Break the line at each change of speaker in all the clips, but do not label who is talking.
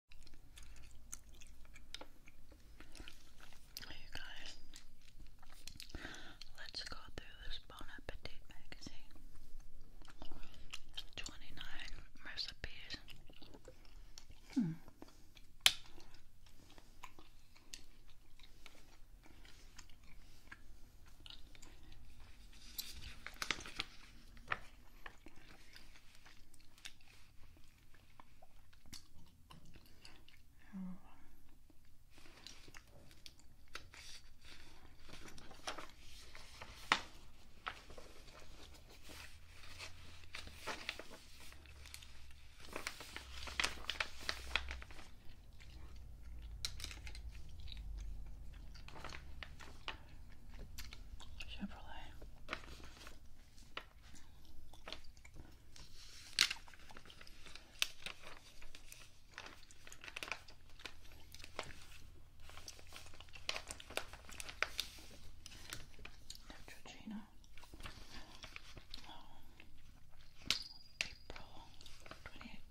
Hey guys, let's go through this Bon Appetit magazine. 29 recipes. Hmm. Oh. Chevrolet. Neutrogena. Oh. April 2018.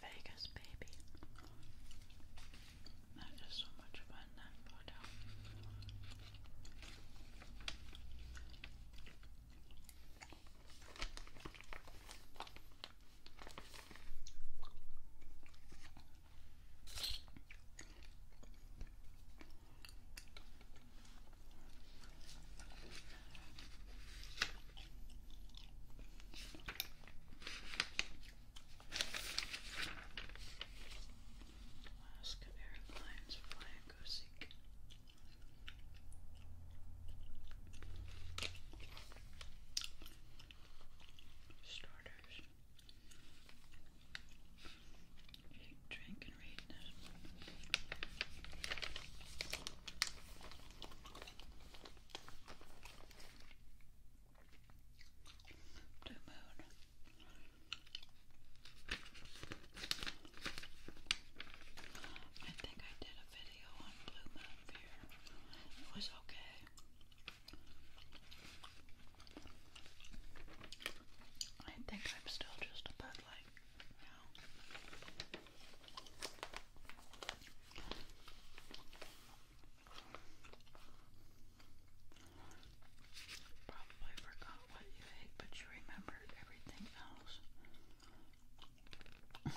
Vegas, baby. That is so much fun, that photo. Alaska Airlines fly go seek. Starters. drink, and read Blue Moon. I think I did a video on Blue Moon Fear. It was okay. I think I'm still just a bud light now. Probably forgot what you ate, but you remembered everything else. Was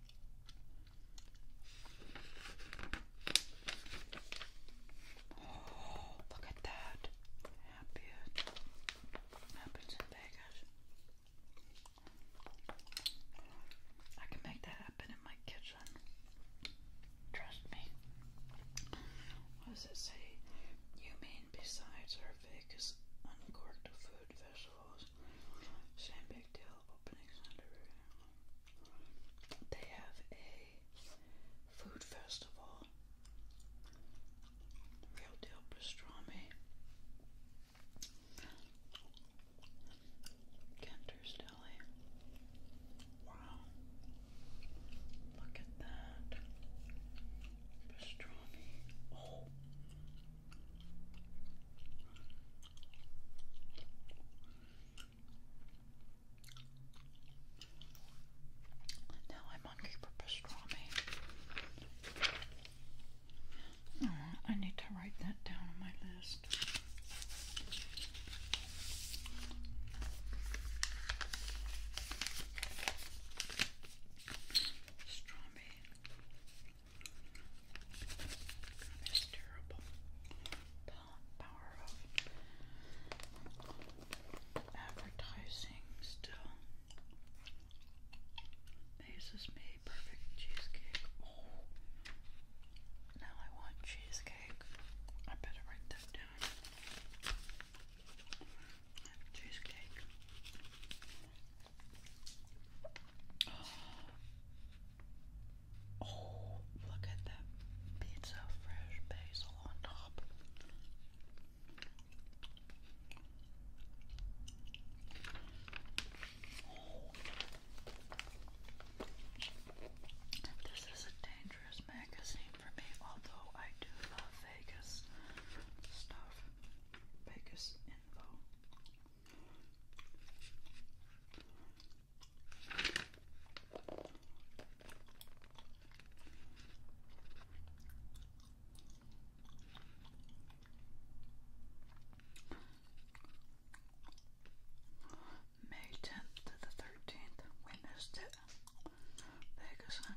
Oh, look at that. Happy it in Vegas. I can make that happen in my kitchen. Trust me. What does it say? You mean besides our Vegas uncorked food vessels? Same big deal they have a food festival, real deal pastrami. Kenter's Wow. Look at that. Pastrami. Oh. Now I'm hungry for pastrami. I need to write that down on my list. Pastrami. This terrible power of advertising still amazes me. Perfect cheesecake. Oh, now I want cheesecake. I better write that down. Cheesecake. Oh, look at that pizza fresh basil on top. This is a dangerous magazine for me, although I do love Vegas stuff. Vegas info. May 10th to the 13th, we missed it. Vegas on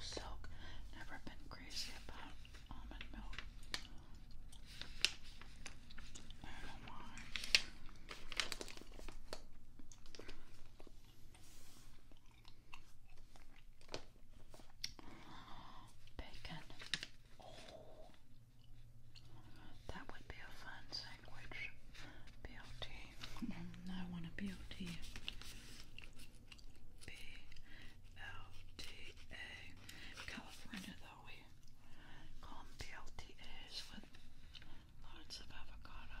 Silk. Never been crazy about almond milk. I do Bacon. Oh. That would be a fun sandwich. BLT. Mm-hmm. I want a BLT. BLTA. California, though, we call BLTAs with lots of avocado.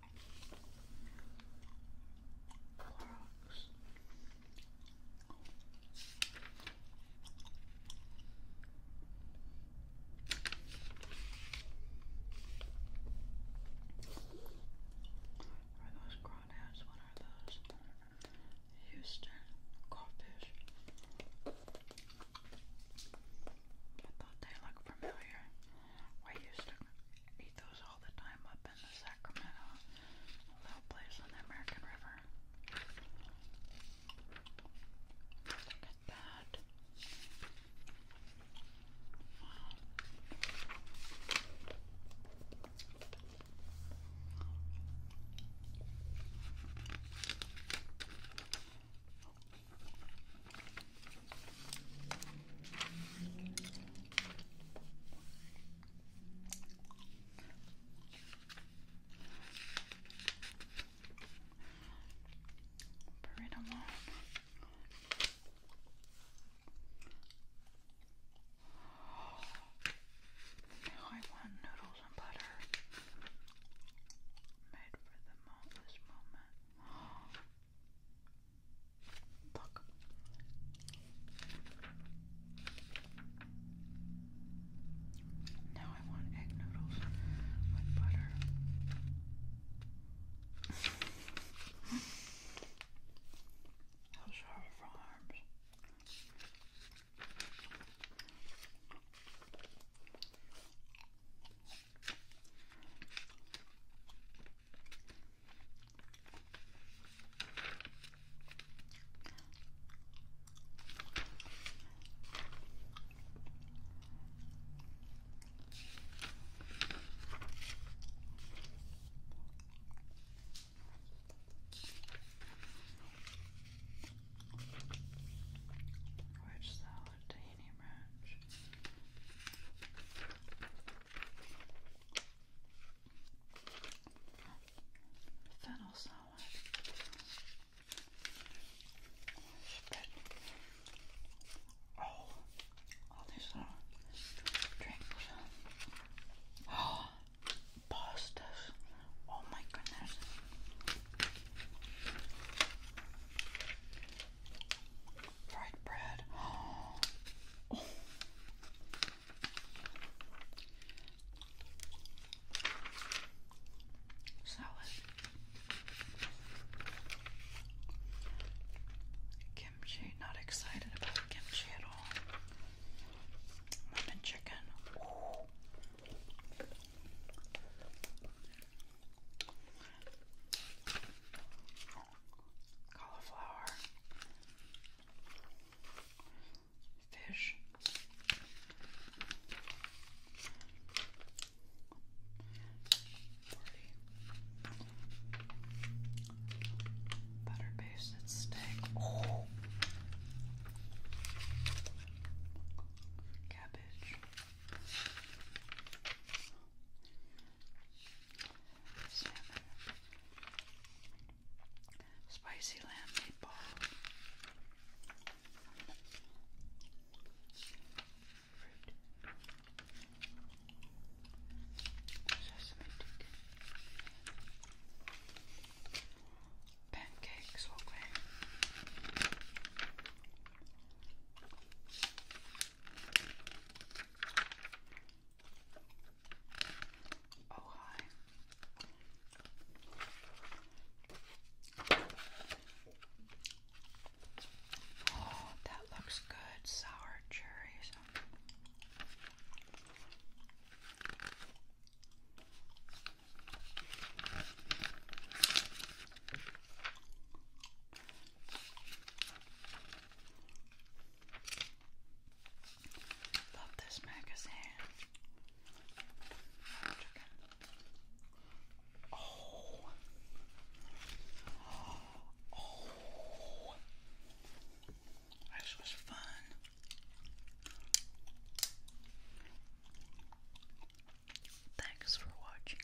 Clorox. Are those crawdads? What are those? Houston crawfish. I thought they looked familiar. We used to eat those all the time up up in Sacramento, little place on the American River. Look at that. Peridamol. Now I want noodles and butter. Made for the mo moment. Fuck. Now I want egg noodles with butter. Those are farms. Wedge salad, tahini fennel salad. Oh, all these little drinks. Oh, pastas. Oh my goodness. Fried bread. Oh. Salad. Kimchi. Not excited about kimchi at all. Lemon chicken. Cauliflower fish. Butter basted steak. cabbage spicy lamb meatball, fruit, sesame pancakes, okay. Oh, hi. Oh, that looks good. Sour cherries. Love this magazine. Oh. oh. Oh. This was fun. Thanks for watching.